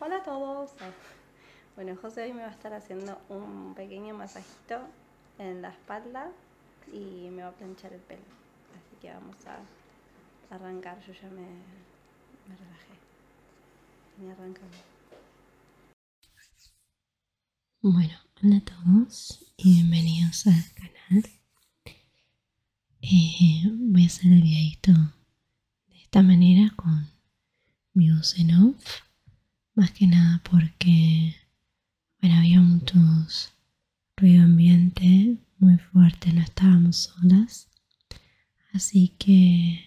Hola a todos. Bueno, José hoy me va a estar haciendo un pequeño masajito en la espalda y me va a planchar el pelo. Así que vamos a arrancar. Yo ya me, relajé. Y arrancamos. Bueno, hola a todos y bienvenidos al canal y eh, voy a hacer el videito de esta manera con mi voz en off más que nada porque bueno, había muchos ruido ambiente muy fuerte, no estábamos solas así que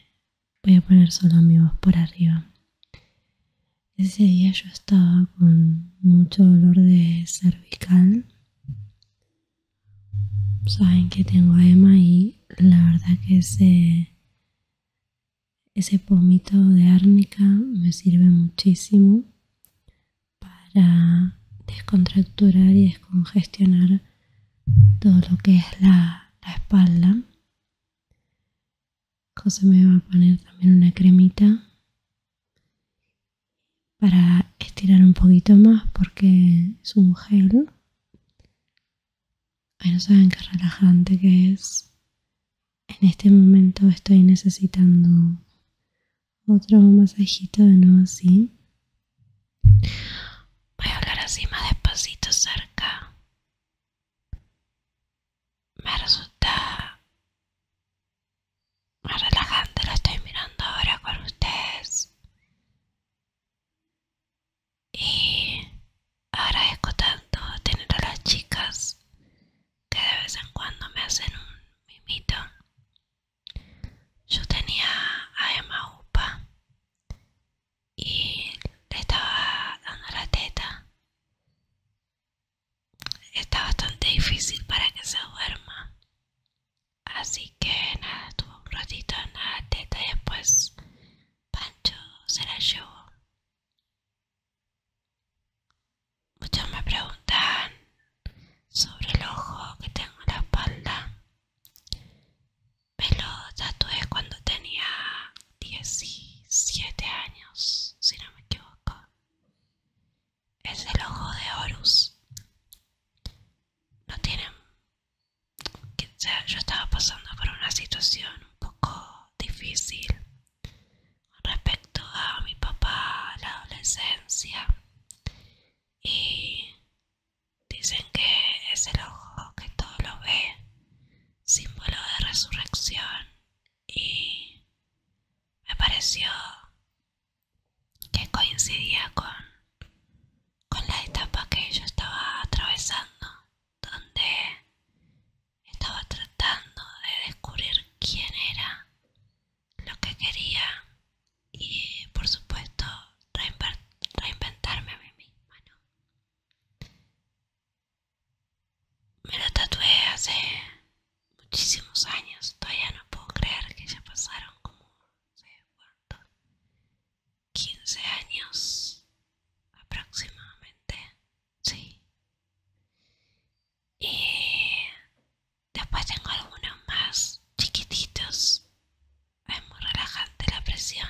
voy a poner solo mi voz por arriba ese día yo estaba con mucho dolor de cervical saben que tengo EMA y la verdad que ese, pomito de árnica me sirve muchísimo para descontracturar y descongestionar todo lo que es la, espalda. Cosa me va a poner también una cremita para estirar un poquito más porque es un gel no saben qué relajante que es. En este momento estoy necesitando otro masajito de nuevo así. Voy a hablar así más despacito cerca. Me resulta más relajante, la estoy mirando ahora con ustedes. Y agradezco tanto tener a las chicas que de vez en cuando me hacen un mimito. Yo tenía a Emma Upa y le estaba dando la teta. Está bastante difícil para que se duerma. Así que nada, estuvo un ratito en la teta y después Pancho se la llevó. Muchos me preguntan sobre el ojo que tengo en la espalda. Me lo tatué cuando tenía 17 años, si no me equivoco. Es el ojo de Horus no tienen sea, yo estaba pasando por una situación un poco difícil respecto a mi papá la adolescencia y dicen que es el ojo que todo lo ve símbolo de resurrección y me pareció que coincidía con, con la etapa que yo estaba atravesando, donde estaba tratando de descubrir quién era, lo que quería y por supuesto reinventarme a mí misma. Me lo tatué hace muchísimos años, todavía no puedo creer que ya pasaron como, 15 años aproximadamente, sí. Y después tengo algunos más chiquititos. Es muy relajante la presión.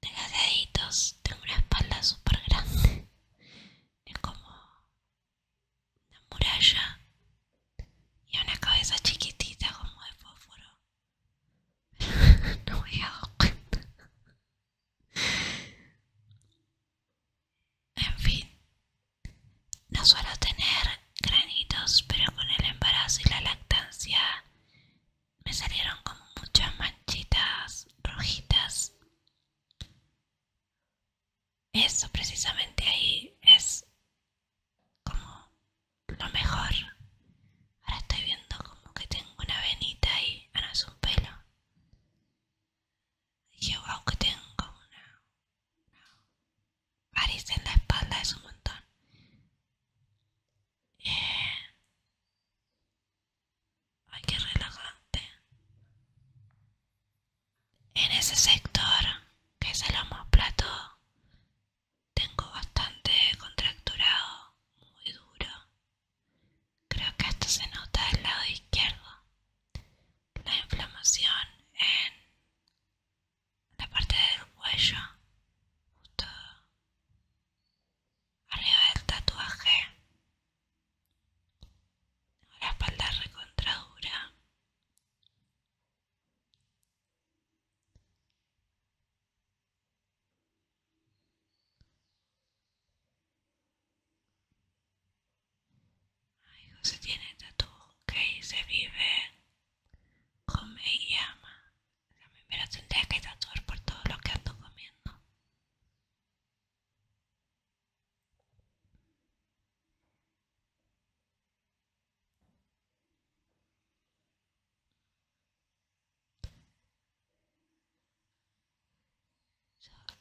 deditos, tengo una espalda super grande. Es como una muralla y una cabeza chiquitita como de fósforo. no me he En fin, no suelo tener granitos, pero con el embarazo y la lactancia me salieron como muchas manchitas rojitas. Eso precisamente ahí es como lo mejor. Ahora estoy viendo como que tengo una venita ahí. ahora un pelo. yo guau que tengo una, una en la espalda, es un montón. Eh. Ay, qué relajante en ese sector que es el homoplato tengo bastante contracturado muy duro creo que esto se nota del lado izquierdo la inflamación en la parte del cuello justo arriba del tatuaje la espalda recontradura Ay, José tiene tatu que se vive, come y ama. También me lo tendría que tatuar por todo lo que ando comiendo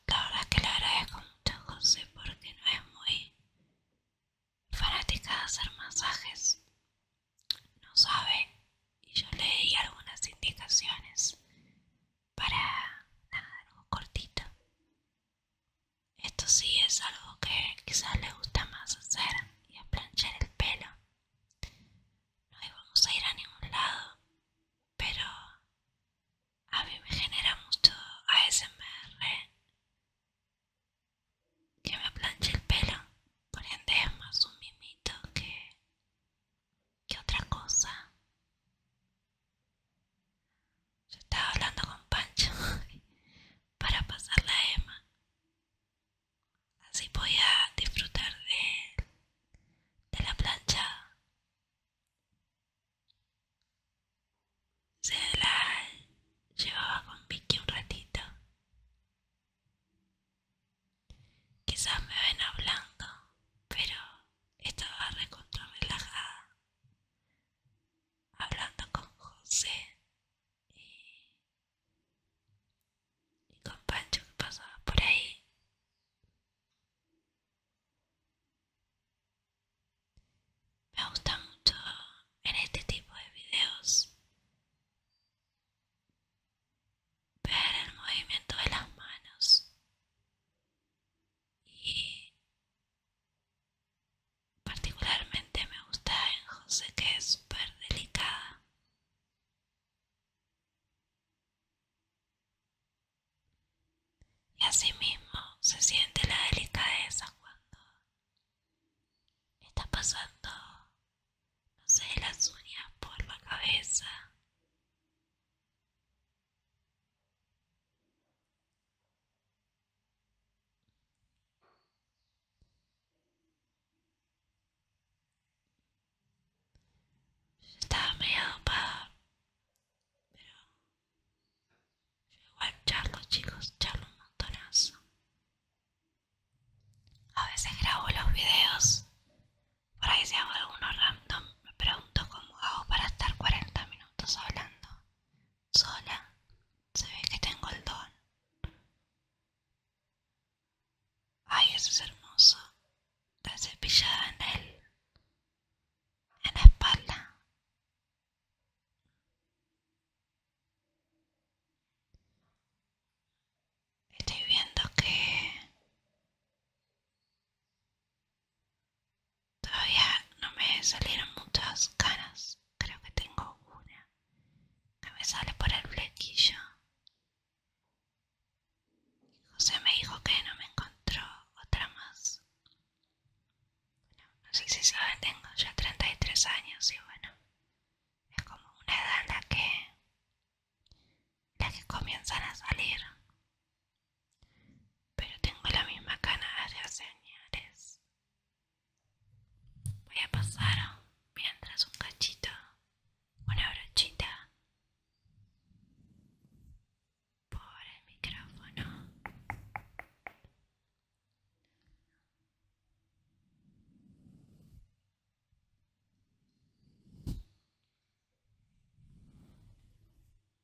la verdad es que le agradezco mucho a José porque no es muy fanática de hacer masajes. No sabe y yo le di algunas indicaciones para nada, algo cortito esto sí es algo que quizás le gusta más hacer y es planchar el pelo. No íbamos a ir a ningún lado, pero a mí me genera mucho ASMR ¿eh? que me planche el pelo. Por ende es más un mimito que, que otra cosa. Yo estaba hablando con Pancho para pasar la Emma. Así podía disfrutar de, de la planchada. Se la llevaba con Vicky un ratito. Quizás me ven hablando, pero estaba recontra relajada hablando con José y, con Pancho que pasaba por ahí. Me gusta mucho en este tipo de videos ver el movimiento de las manos y Particularmente me gusta en José que es súper delicada. Y mismo se siente la delicadeza cuando está pasando, no sé, las uñas por la cabeza yo estaba medio dopada, pero igual charlo chicos, charlo un montonazo. A veces grabo los videos, por ahí si hago alguno random, me pregunto cómo hago para estar 40 minutos estás hablando. Sola, se ve que tengo el don. Ay, eso es hermoso. está cepillada en él. En la espalda. Estoy viendo que Todavía no me salieron muchas ganas, Creo que tengo una que me sale por el flequillo. José me dijo que no me encontró otra más. no sé si saben, tengo ya 33 años y bueno, es como una edad en la que, la que comienzan a salir pero tengo la misma cana de señales Voy a pasar mientras un cachito, una brochita por el micrófono.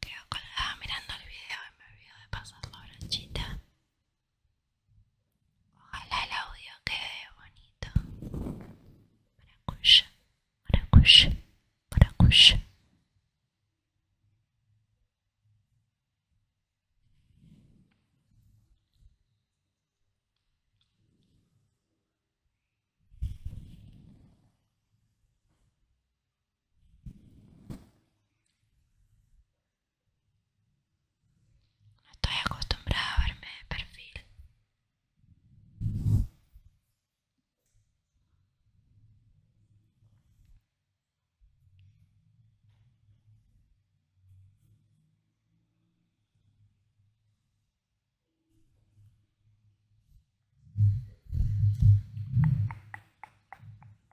Creo que estaba mirando el video y me olvidé de pasar la brochita. Ojalá el audio quede bonito. Maracuya, para maracuya. No estoy acostumbrada a verme de perfil.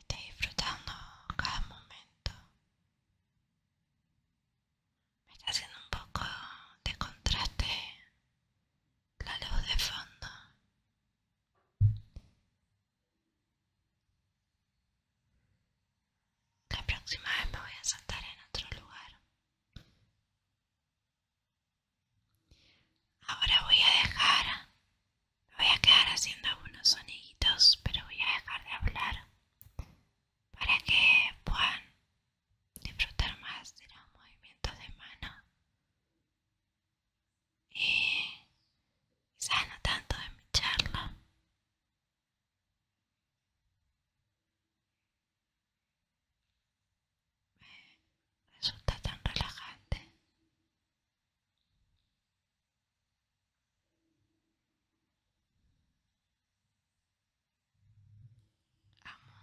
estoy disfrutando cada momento. Me está haciendo un poco de contraste la luz de fondo. La próxima vez me voy a sentar en otro lugar. Ahora voy a dejar, voy a quedar haciendo algunos sonidos, pero voy a dejar de hablar para que puedan disfrutar más de los movimientos de mano y sano tanto de mi charla me resulta tan relajante amo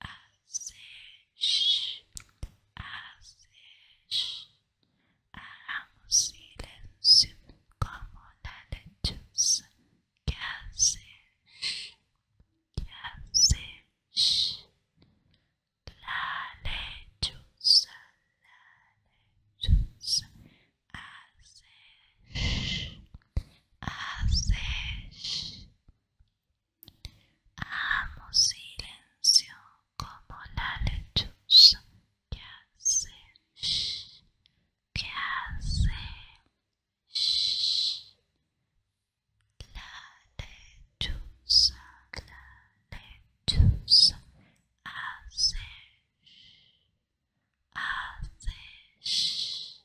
Haces, haces, hagamos silencio como la lechuza. ¿Qué haces? La lechuza, la lechuza, haces, haces. Amo silencio como la lechuza que hace, shh, que hace, shh. La lechuza, la lechuza hace, shh, hace, shh.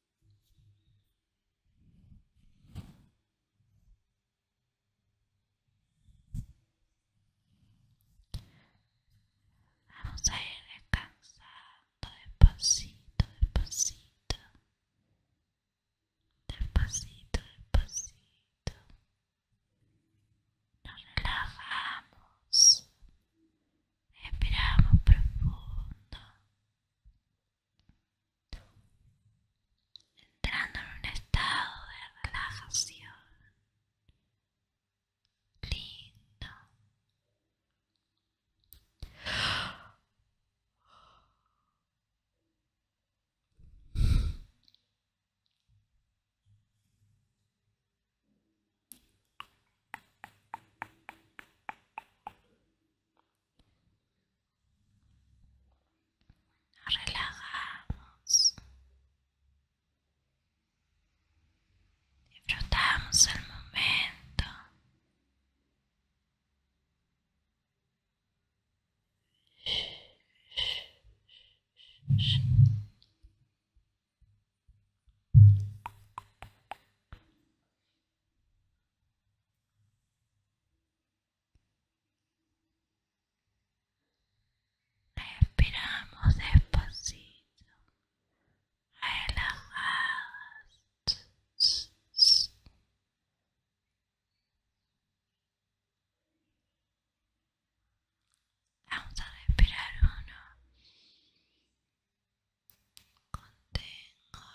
Vamos a ir descansando despacito, despacito. Despacito, despacito. Nos relajamos. Respiramos profundo entrando en un estado de relajación lindo nos relajamos. Disfrutamos el momento. Respiramos despacito, relajadas. Vamos a respirar uno, contengo para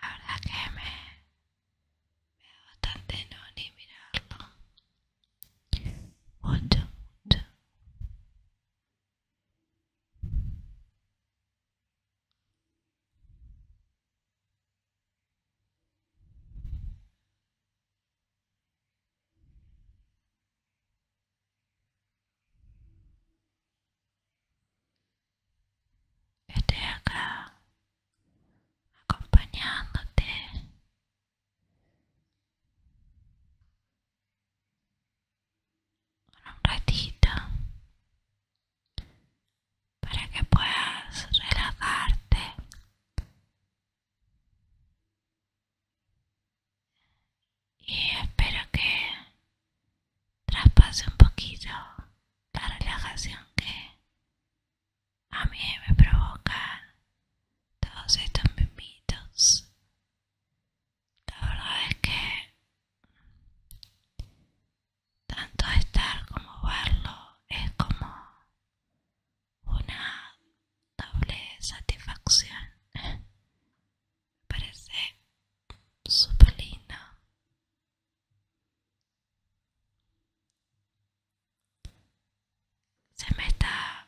la verdad que me, me da bastante no ni mirarlo. Mucho, mucho. Estoy acá acompañándote. un ratito para que puedas relajarte y espero que traspase un poquito la relajación que a mí me provoca todos estos mimitos la verdad es que tanto estar como verlo es como una doble satisfacción. Me parece super lindo. Se me está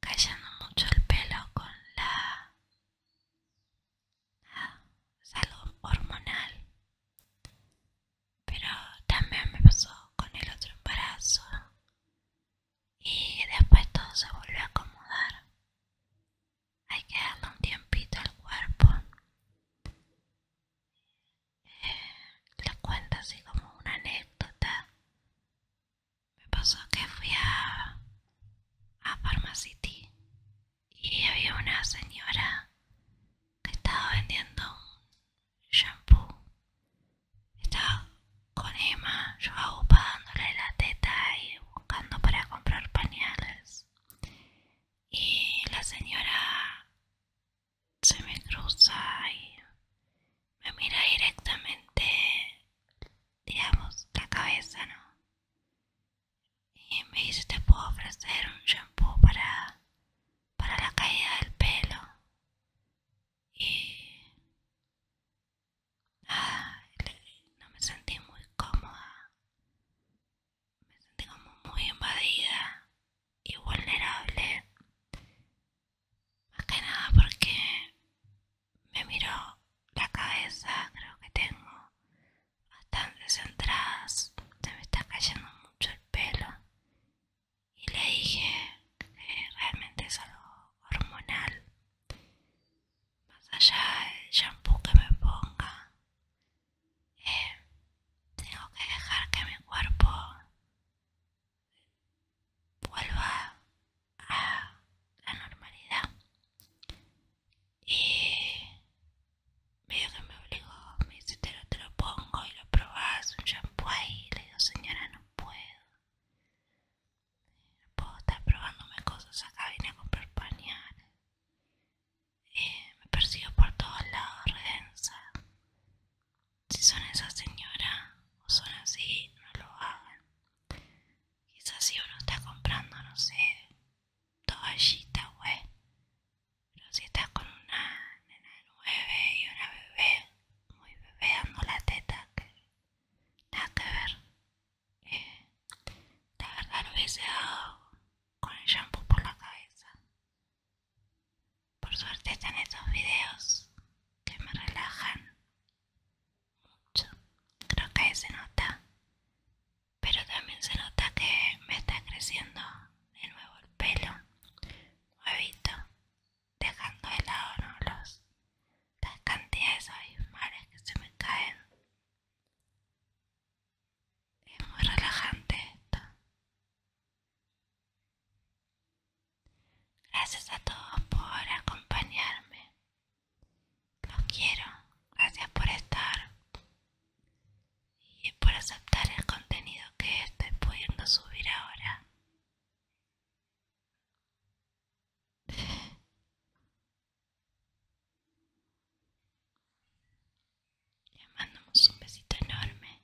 cayendo mucho el pelo con la salud hormonal. Pero también me pasó con el otro embarazo. Y después todo se volvió a acomodar. Hay que darle un tiempito al cuerpo. Eh, cuento así como una anécdota me pasó que fui a, a Pharmacity y había una señora que estaba vendiendo un shampoo. Estaba con Emma, yo dándole la teta y buscando para comprar pañales. Y la señora se me cruza y me mira directamente, digamos, la cabeza, ¿no? Y me dice, te puedo ofrecer un shampoo para, para la caída del pelo. Y no me sentí muy cómoda. Me sentí como muy invadida y vulnerable. Más que nada porque me miró la cabeza, creo que tengo bastante centradas se me está cayendo mucho el pelo y le dije que realmente es algo hormonal, más allá del shampoo que me ponga, eh, tengo que dejar que mi cuerpo vuelva a la normalidad y veo que me obligó, me dice te lo, pongo y lo probás, un champú ahí, le digo señora no puedo, no puedo estar probándome cosas acá, vine a comprar pañales, eh, me persigo por todos lados, redensa, si son esas señoras o son así, no lo hagan. Quizás si uno está comprando, no sé, toallita, wey, Pero si estás con una nena de nueve y una bebé, muy bebé dando la teta, que nada que ver. Eh, la verdad lo hubiese dado con el shampoo por la cabeza. Por suerte están esos videos que me relajan mucho. Creo que se nota. Pero también se nota que me está creciendo de nuevo el pelo. Nuevito Dejando de lado Los, las cantidades abismales que se me caen. Es muy relajante esto. Gracias a todos por acompañarme. Los quiero. Gracias por estar y por aceptar el contenido que estoy pudiendo subir ahora. Le mandamos un besito enorme.